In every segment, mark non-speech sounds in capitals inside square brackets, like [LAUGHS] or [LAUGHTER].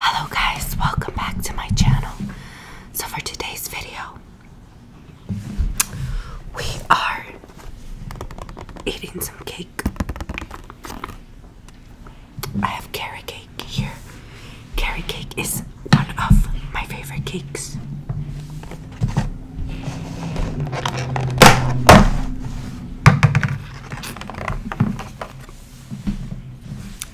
Hello guys, welcome back to my channel. So for today's video, we are eating some cake. I have carrot cake here. Carrot cake is one of my favorite cakes.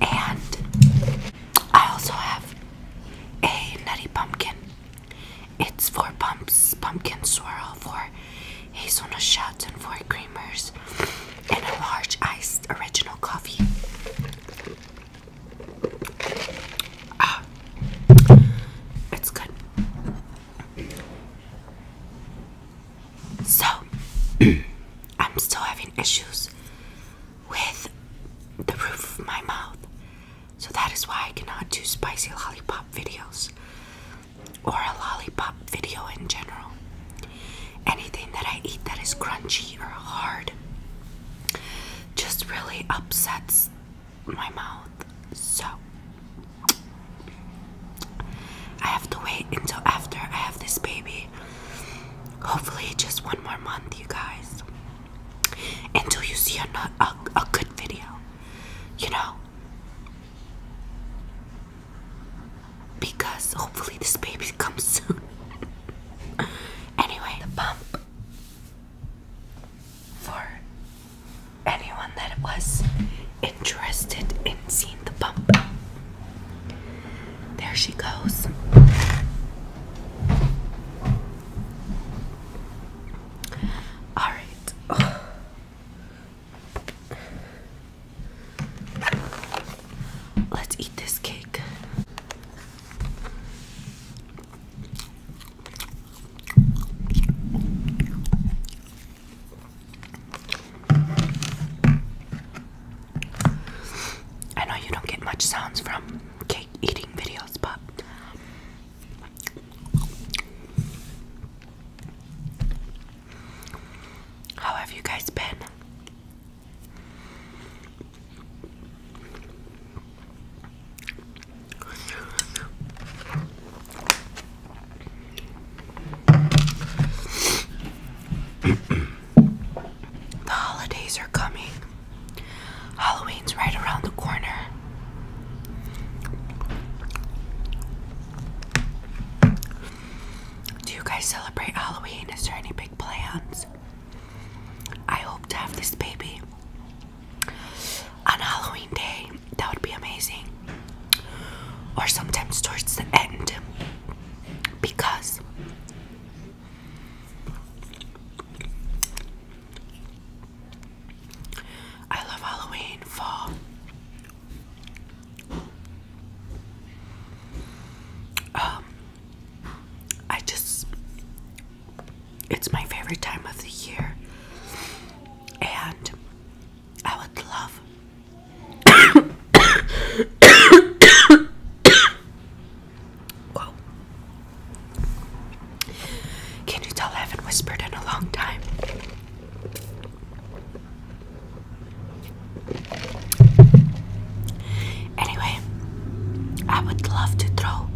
And I also have a nutty pumpkin. It's for pumps, pumpkin swirl, for hazelnut shots, and for creamers, and a large iced original coffee. Ah, it's good. So, [CLEARS THROAT] I'm still having issues with the roof of my mouth. So, that is why I cannot do spicy lollipop videos or a lollipop video in general. Anything that I eat that is crunchy or hard just really upsets my mouth. So, I have to wait until after I have this baby hopefully, just one more month, you guys, until you see a, good video, you know. Because hopefully this baby comes soon. [LAUGHS] anyway, the bump for anyone that was interested in seeing the bump. There she goes. All right. Let's eat this cake. I know you don't get much sounds from cake eating videos, but how have you guys been? the holidays are coming. Halloween's right around the corner. Do you guys celebrate Halloween? Is there any big plans? I hope to have this baby on Halloween Day. That would be amazing or sometimes towards the end because I love Halloween, fall. Um, I just, it's my favorite time of the year, and I would love. Can you tell I haven't whispered in a long time? Anyway, I would love to throw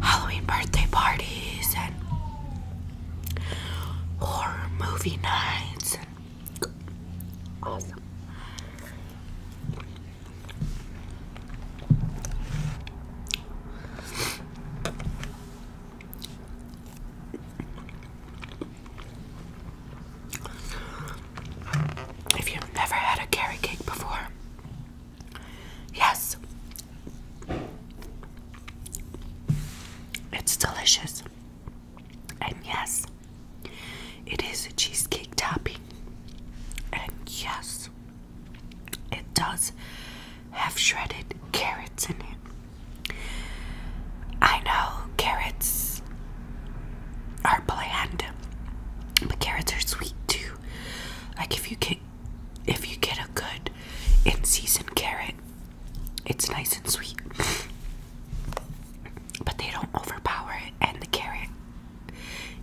Halloween birthday parties and horror movie nights awesome. If you've never had a carrot cake before, yes, it's delicious. And yes, it is a cheesecake topping. And yes, it does have shredded carrots in it. I know carrots are bland, but carrots are sweet too. Like if you get if you get a good in season carrot, it's nice and sweet. [LAUGHS] but they don't overpower it and the carrot.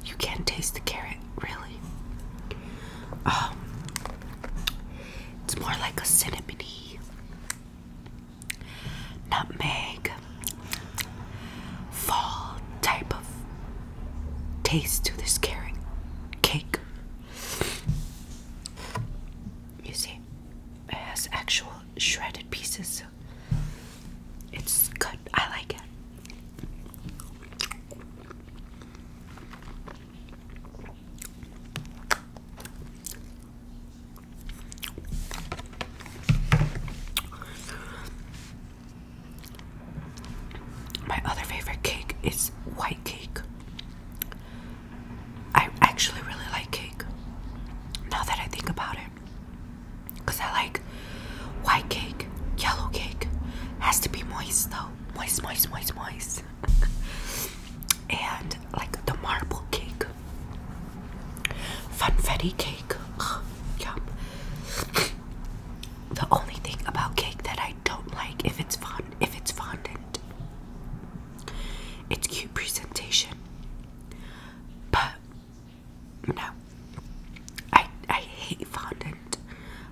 You can taste the carrot, really. Um, it's more like a cinnamon, nutmeg fall type of taste to this carrot cake. You see, it has actual shredded pieces, so it's good. I like it. My other favorite cake is white cake. I actually really like cake. Now that I think about it. Because I like white cake, yellow cake. Has to be moist though. Moist, moist, moist, moist. [LAUGHS] and like the marble cake. Funfetti cake. yum. [LAUGHS] the only thing about cake that I don't like if it's fond, if it's fondant, it's cute presentation. But no. I I hate fondant.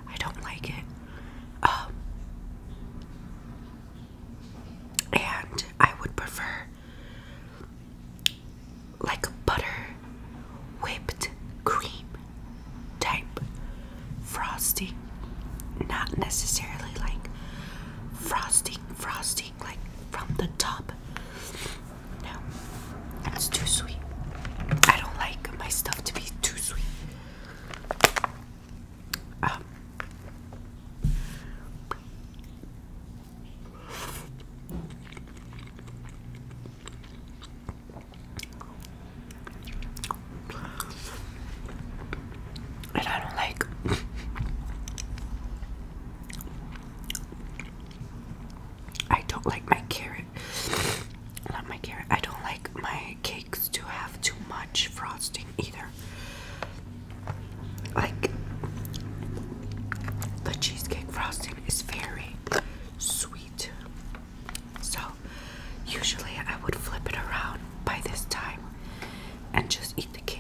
I don't like it. Um, and I would prefer like butter whipped cream type frosting. Not necessarily like frosting, frosting, like from the top. No, it's too sweet. I don't like my stuff to be too sweet. Um, and I don't like I don't like my carrot not my carrot. I don't like my cakes to have too much frosting either. Like the cheesecake frosting is very sweet. So Usually I would flip it around by this time and just eat the cake.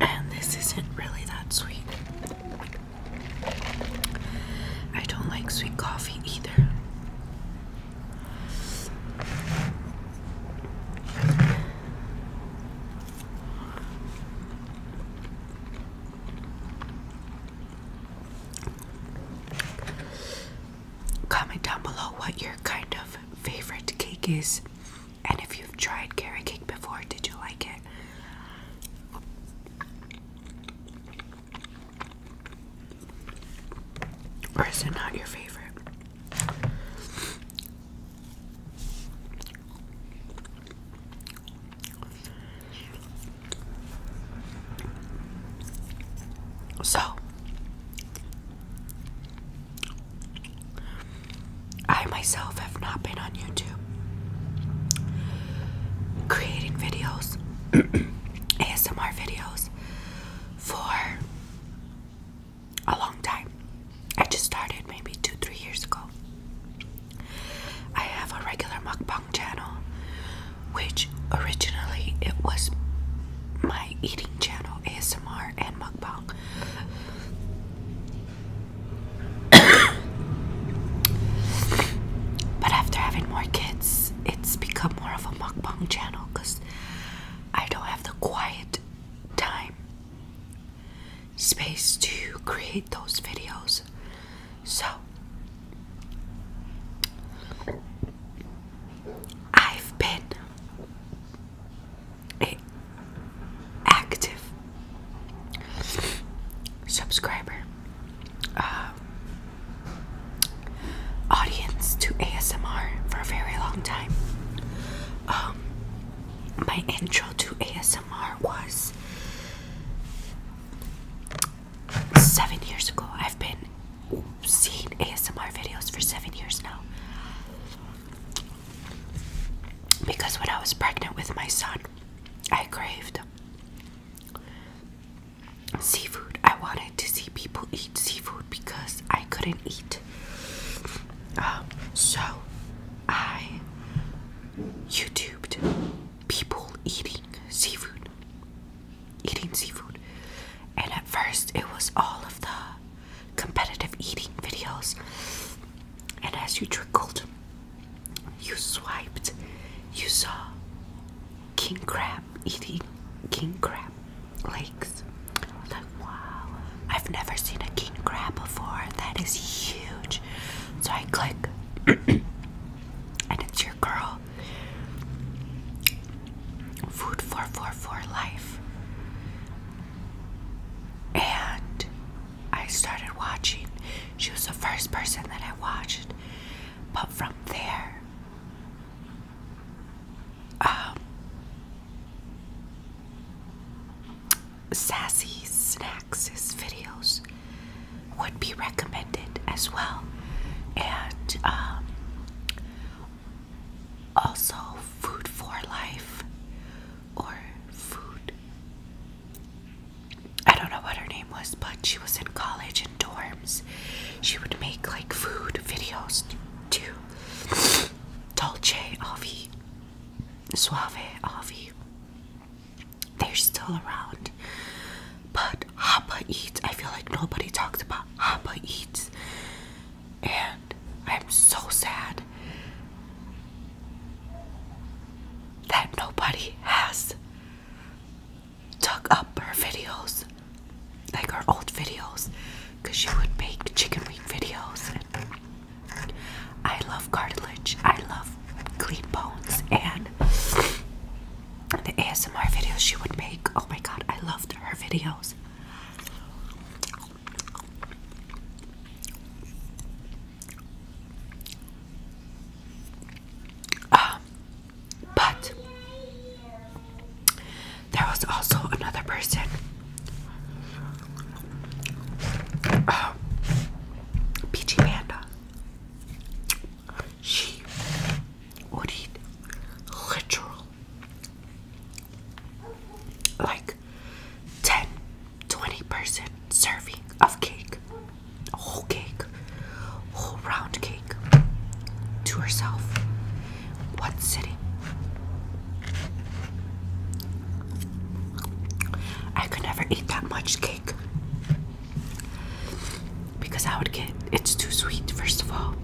And this isn't really that sweet. I don't like sweet coffee either. Comment down below what your kind of favorite cake is. And if you've tried carrot cake before, did you like it? Or is it not your favorite? So, I myself have not been on YouTube creating videos, ASMR [CLEARS THROAT] videos, for a long time. I just started maybe two, three years ago. I have a regular mukbang channel, which originally it was my eating channel, ASMR and mukbang. [COUGHS] but after having more kids, it's become more of a mukbang channel because I don't have the quiet time space to create those videos. So I've been active subscriber uh, audience to ASMR for a very long time. Um, my intro to ASMR was seven years ago. I've been seeing ASMR videos for seven years now. Because when I was pregnant with my son, I craved seafood. I wanted to see people eat seafood because I couldn't eat. Um, so I YouTubed people eating seafood. Eating seafood. And at first, it was all of the competitive eating videos. And as you trickled, you swiped, you saw king crab eating king crab legs. Like, wow, I've never seen a king crab before. That is huge. So I click, [CLEARS THROAT] and it's your girl. Food for Life. And I started watching. She was the first person that I watched. But from there, um, Sassy Snacks' videos would be recommended as well. And um, also food for life or food I don't know what her name was but she was in college in dorms she would make like food videos too Dulce, Avi Suave Avi they're still around but Hapa Eats I feel like nobody talked about Hapa Eats and I am so sad that nobody has dug up her videos, like her old videos, because she would make chicken wing videos. I love cartilage, I love clean bones, and the ASMR videos she would make. Oh my god, I loved her videos. Um, but there was also another person. Um, Peachy Panda. She would eat literal like 10 20 percent serving of cake a whole cake whole round cake to herself one sitting I could never eat that much cake because I would get it's too sweet first of all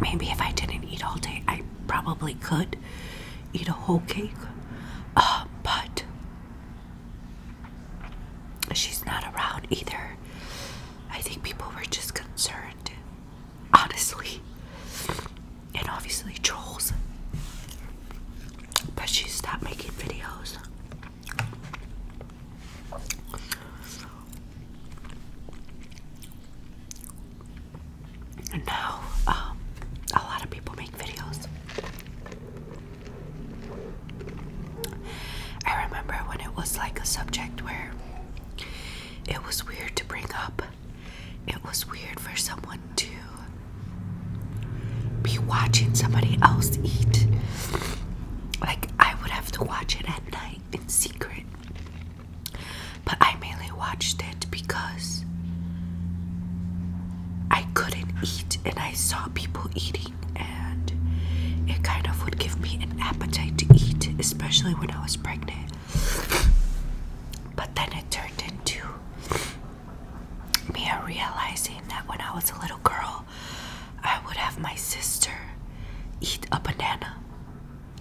maybe if I didn't eat all day I probably could eat a whole cake, uh, but she's not around either. I think people were just concerned, honestly, and obviously trolls. But she stopped making videos. No, um, a lot of people make videos. I remember when it was like a subject where it was weird to bring up. It was weird for someone to be watching somebody else eat. Like, I would have to watch it at night in secret but I mainly watched it because I couldn't eat and I saw people eating, and it kind of would give me an appetite to eat, especially when I was pregnant. But then it turned into me realizing that when I was a little girl, I would have my sister eat a banana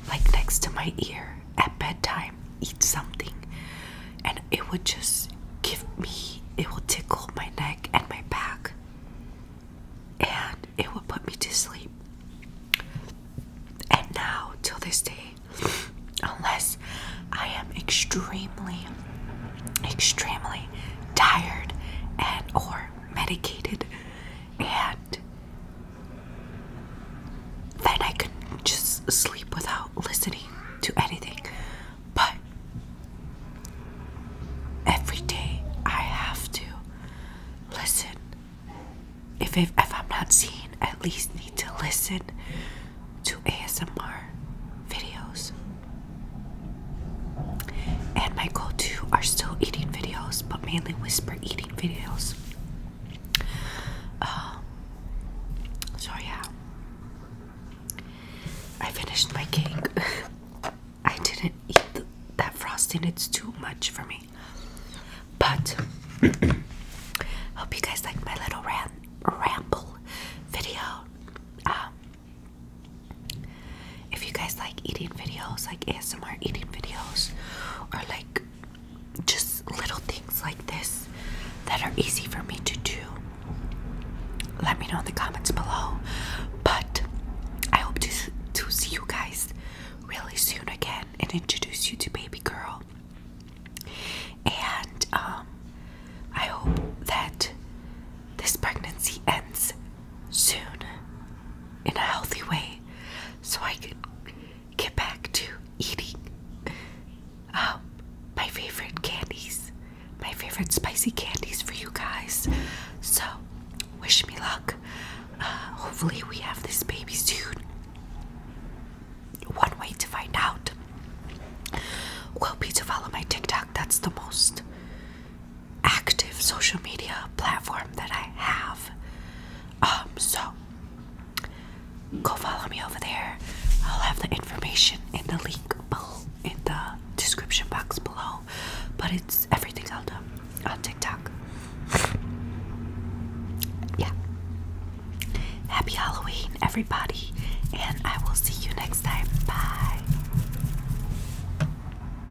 like next to my ear at bedtime, eat something, and it would just give me, it will tickle my neck and my back, and it would put me to sleep. And now, till this day, [LAUGHS] unless I am extremely, extremely tired and or medicated and then I can just sleep without listening to anything. But every day I have to listen. If, if, I'm not seeing, at least need to listen to ASMR videos. And my go to are still eating videos, but mainly whisper eating videos. Um, so yeah, I finished my cake. [LAUGHS] I didn't eat that frosting; it's too much for me. But [COUGHS] hope you guys like my little ram ramble video. Um, if you guys like eating videos, like ASMR eating videos, or like just little things like this that are easy for me to do, let me know in the comments below. But I hope to, to see you guys really soon again and introduce you to Baby Girl. And um, I hope that this pregnancy ends soon in a healthy way so I can get back to eating um, my favorite candies, my favorite spicy candies for you guys. So, wish me luck. Uh, hopefully, we have this baby soon. One way to find out will be to follow my TikTok. That's the most active social media platform that I have. Um, so go follow me over there. I'll have the information in the link below in the description box below. But it's everything I do on TikTok. yeah. Happy Halloween, everybody, and I will see you next time. Bye.